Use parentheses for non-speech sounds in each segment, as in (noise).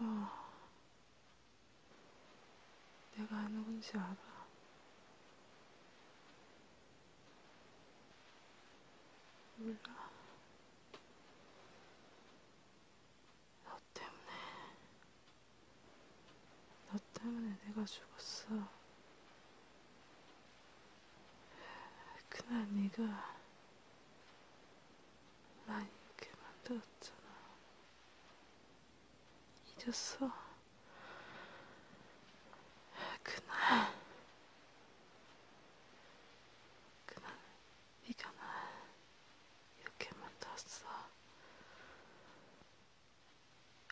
너 아, 내가 누군지 알아. 몰라. 너 때문에, 너 때문에 내가 죽었어. 그날 네가 나 이렇게 만들었잖아. 잊었어. 그날, 그날 네가 나 이렇게 만들었어.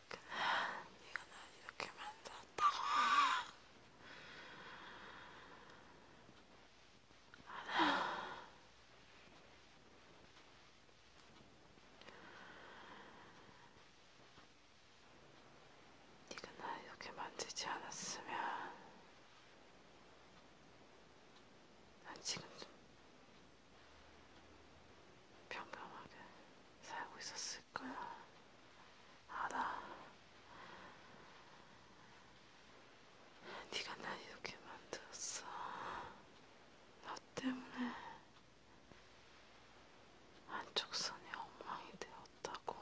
그날 네가 날 이렇게 만들었다고. 하나. 네가 날 이렇게 만들지 않았으면 난 지금도 평범하게 살고 있었을 거야. 알아. 네가 날 이렇게 만들었어. 너 때문에 한쪽 손이 엉망이 되었다고.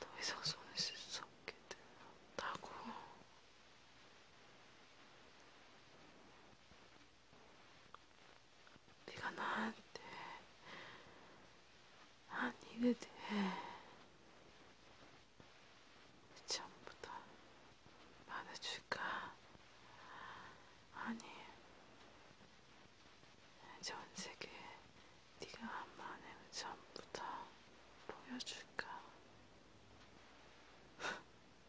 더 이상 손을 쓸 수 없게 되었다고. 네가 나한테 한 일에 대해 처음부터 말해줄까? 아니, 전 세계 네가 한 말을 전부 다 보여줄까?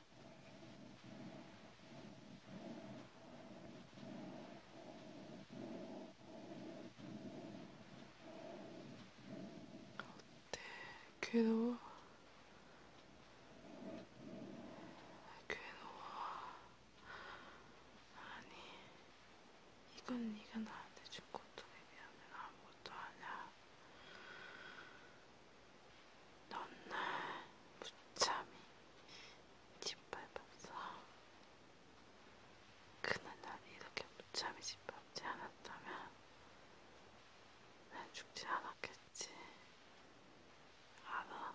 어때? 괴로워? 괴로워. 아니, 이건 네가 나한테 준 고통에 비하면 아무것도 아니야. 넌날 무참히 짓밟았어. 그날 날 이렇게 무참히 짓밟지 않았다면 난 죽지 않았겠지. 알아?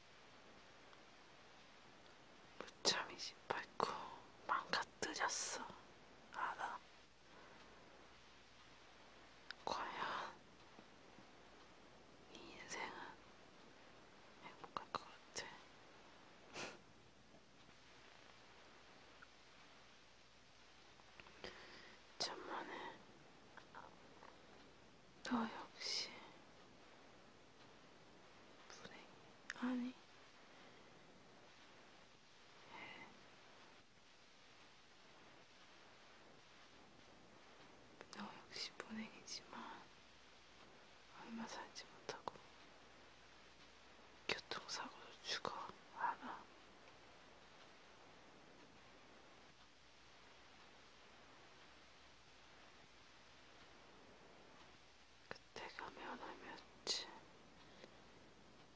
무참히 짓밟고 망가뜨렸어. 알아? 과연 이 인생은 행복할 것 같아. (laughs) 천만에 너 역시 불행 아니 예. 너 역시 불행이지만 얼마 살지 못하고 교통사고로 죽어 알아. 그때가 면하며지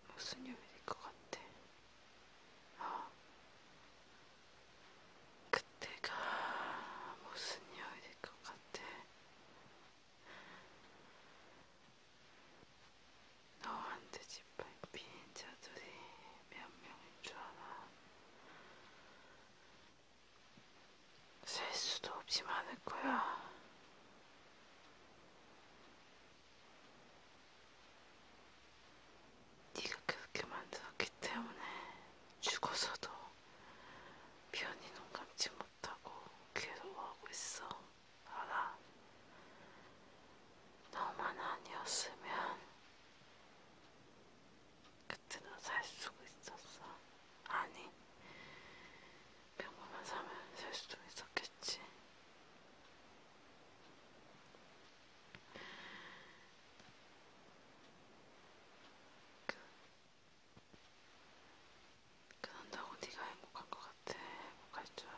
무슨 요일일 것 같아. 어? 그때가 무슨 요일일 것 같아. 너한테 짓밟힌 자들이 몇 명인 줄 알아. 셀 수도 없이 많을 거야. 네가 그렇게 만들었기 때문에 죽어서도 편히 눈 감지 못하고 괴로워하고 있어. 알아? 너만 아니었으면 그때는 살 수가 있었어. 아니, 평범한 사면 살 수도 있었겠지. 그, 그런다고 네가 행복한 것 같아. 행복할 줄.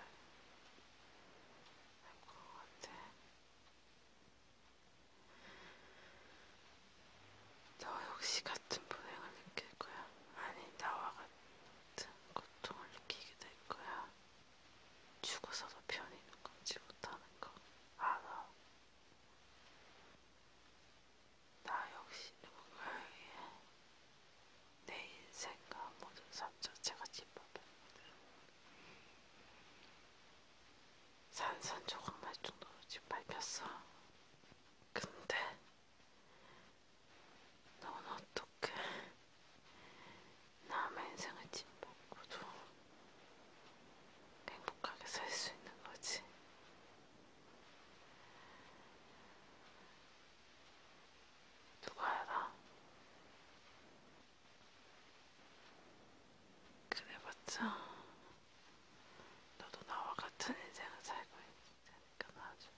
행복한 것 같아. 너 역시 같은 불행을 느낄 거야. 아니, 나와 같은 고통을 느끼게 될 거야. 죽어서도 편히 걷지 못하는 거 알아. 나 역시 누군가에게 내 인생과 모든 삶 자체가 짓밟혔거든. 산산조각 날 정도로 지금 밟혔어. 근데 넌 어떻게 남의 인생을 짓밟고도 행복하게 살 수 있는 거지? 누가 알아? 그래봤자 너도 나와 같은 인생을 살고 있을 테니까 나중에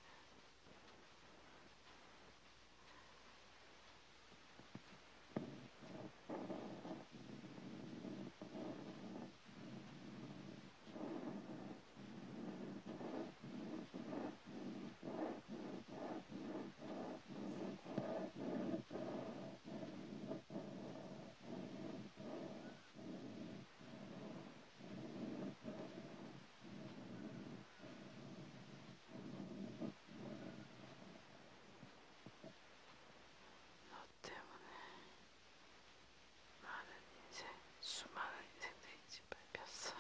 너 때문에 많은 인생, 수많은 인생들이 짓밟혔어요.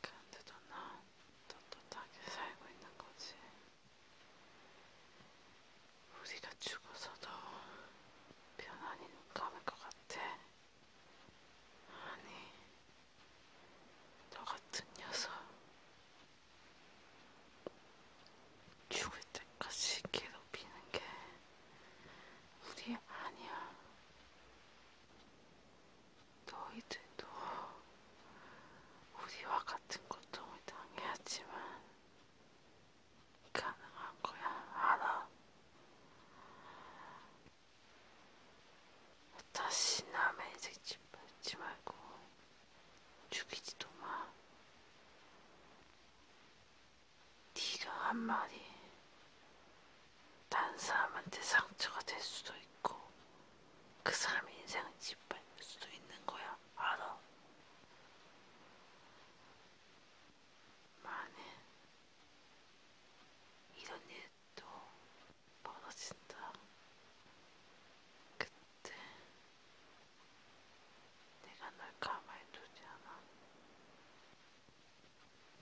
그런데도 난 떳떳하게 살고 있는 거지. 우리가 죽어서도 편안히 눈 감을 것 같아. 아니, 너 같은 녀석. 죽을 때까지 괴롭히는 게 우리 아니야. 너희들도 우리와 같은 고통을 당해야지만 가능한 거야, 알아. 다시 남의 인생 짓밟지 말고 죽이지도 마. 네가 한 말이 딴 사람한테 상처가 될 수도 있고 그 사람의 인생을 짓밟을 수도 있는 거야. 바로 마늘 이런 일도 벌어진다. 그때 내가 널 가만히 두지 않아.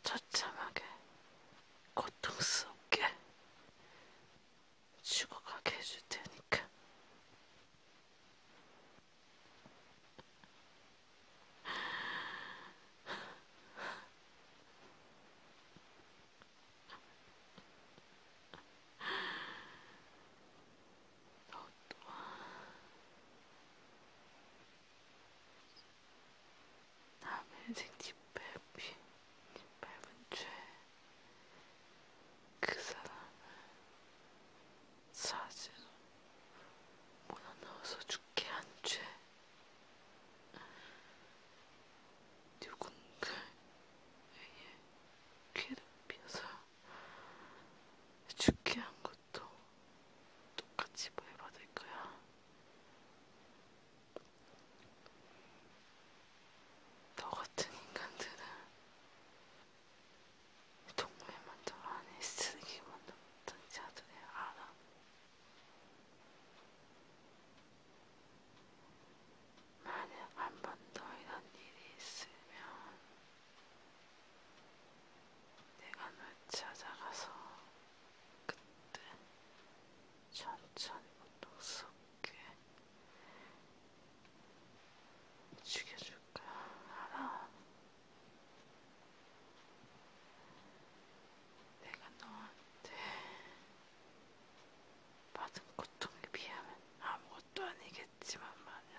처참하게, 고통스럽게 죽어가게 해줄 테니. 남의 생집 밟은 죄그 사람을 사지로 몰아넣어서 죽게 한 죄 누군가에게 괴롭혀서 죽게 한 것도 똑같이 벌받을 거야. 너 같은 인간들은 정말 만들어하니 쓰레기 만들었던 자들이 알아. 만약 한 번 더 이런 일이 있으면 내가 널 찾아가서 그때 천천히 운동수업 죽여줄 거야. 알아. 내가 너한테 받은 고통에 비하면 아무것도 아니겠지만 말이야.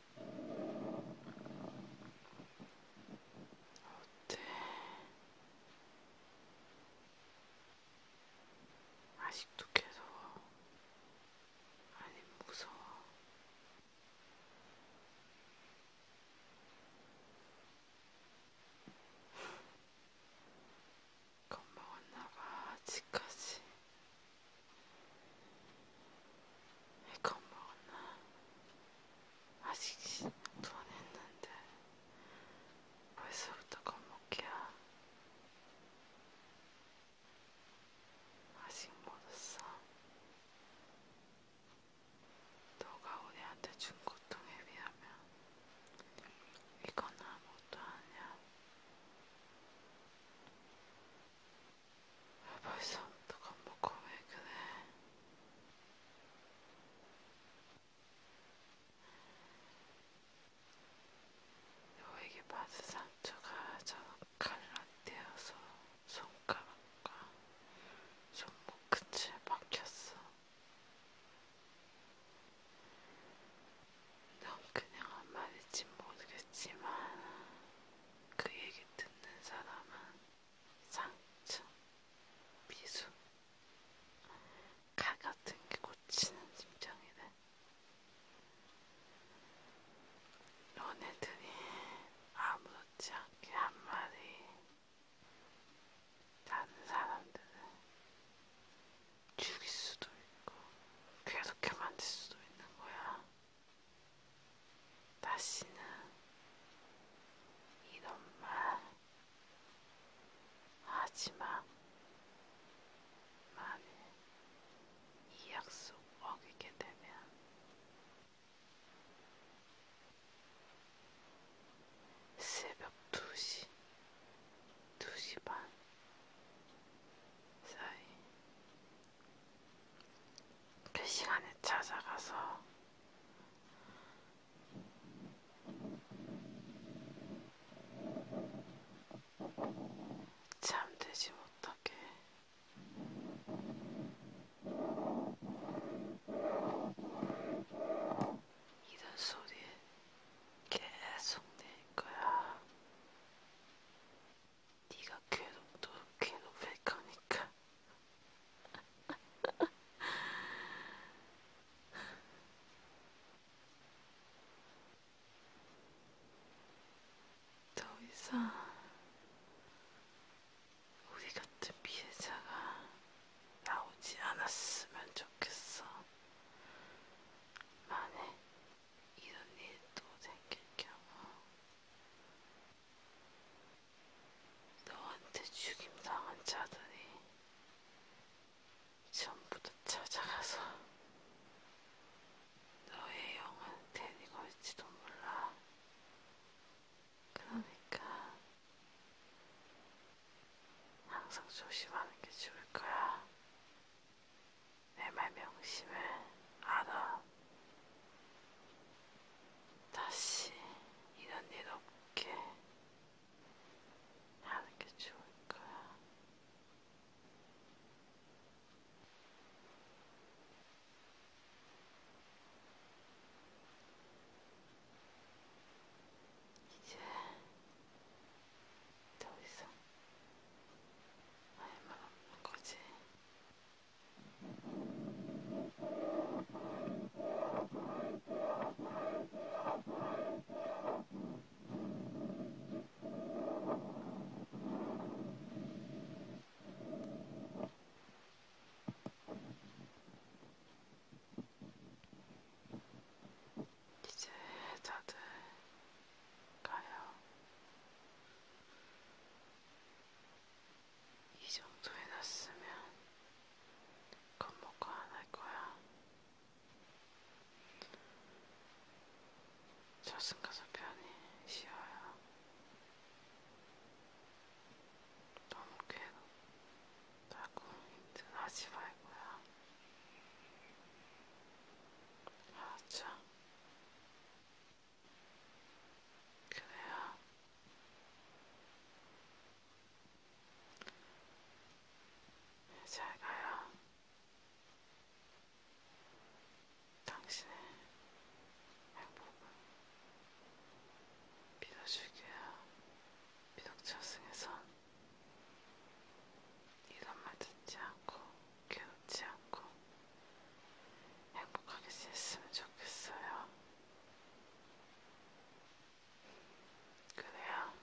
어때? 아, 네. 아직도 괴로워? 아니 무서워? 겁먹었나봐 아직까지. 겁먹었나? 아직 시작도 안 했는데 벌써부터 겁먹기야. 아직 못 왔어. 너가 우리한테 준 고통에 비하면 이건 아무것도 아니야. 벌써부터 겁먹고 왜 그래? 너에게 받은 상처가 저렇게 갈라떼어서 손가락과 손목 끝에 박혔어. 넌 그냥 한 말인지 모르겠지만 그 얘기 듣는 사람은 상층, 미수, 칼 같은 게 고치는 심정이래. 너네들이 아무렇지 않게 한 말이 다른 사람들은 죽일 수도 있고 괴롭게 만들 수도 있는 거야. 다시는 이런 말 하지마. 만일 이 약속 어기게 되면 새벽 2시, 2시 반 사이 그 시간에 찾아가서 잠들지 못하게 이런 소리 계속 낼 거야. 네가 괴롭 괴롭힐 거니까. (laughs) 더 이상 우리 같은 피해자가 나오지 않았으면 좋겠어. 만에 이런 일도 생길겸하 너한테 죽임당한 자들이 전부 다 찾아가서 너의 영혼 대니 걸지도 몰라. 그러니까 항상 조심하는 게 좋을 거야. 내말 명심을 알아. 다시 이런 일 없게 하는 게 좋을 거야. 이제 더 이상 할말 없는 거지. 이제 다들 가요. 이 정도 해놨으면 겁먹고 안할 거야. 저승 가서 편히 쉬어요. 너무 괴롭다고 힘들어하지 말고요. 알았죠? 아, 그래야 잘 가요. 당신의 행복을 믿어줄게요. 미독천승에선 이런 말 듣지 않고 괴롭지 않고 행복하게 지냈으면 좋겠어요. 그래야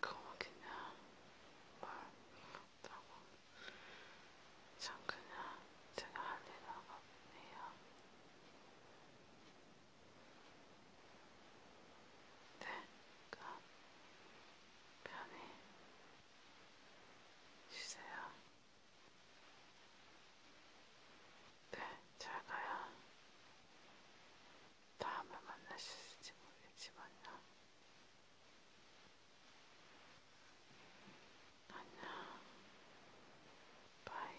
그뭐 그냥 뭘못다고 전 그냥 제가 할 일은 없네요. 네, 그럼 편히 쉬세요. 네, 잘 가요. 다음에 만나실지 모르겠지만요. 안녕. 바이.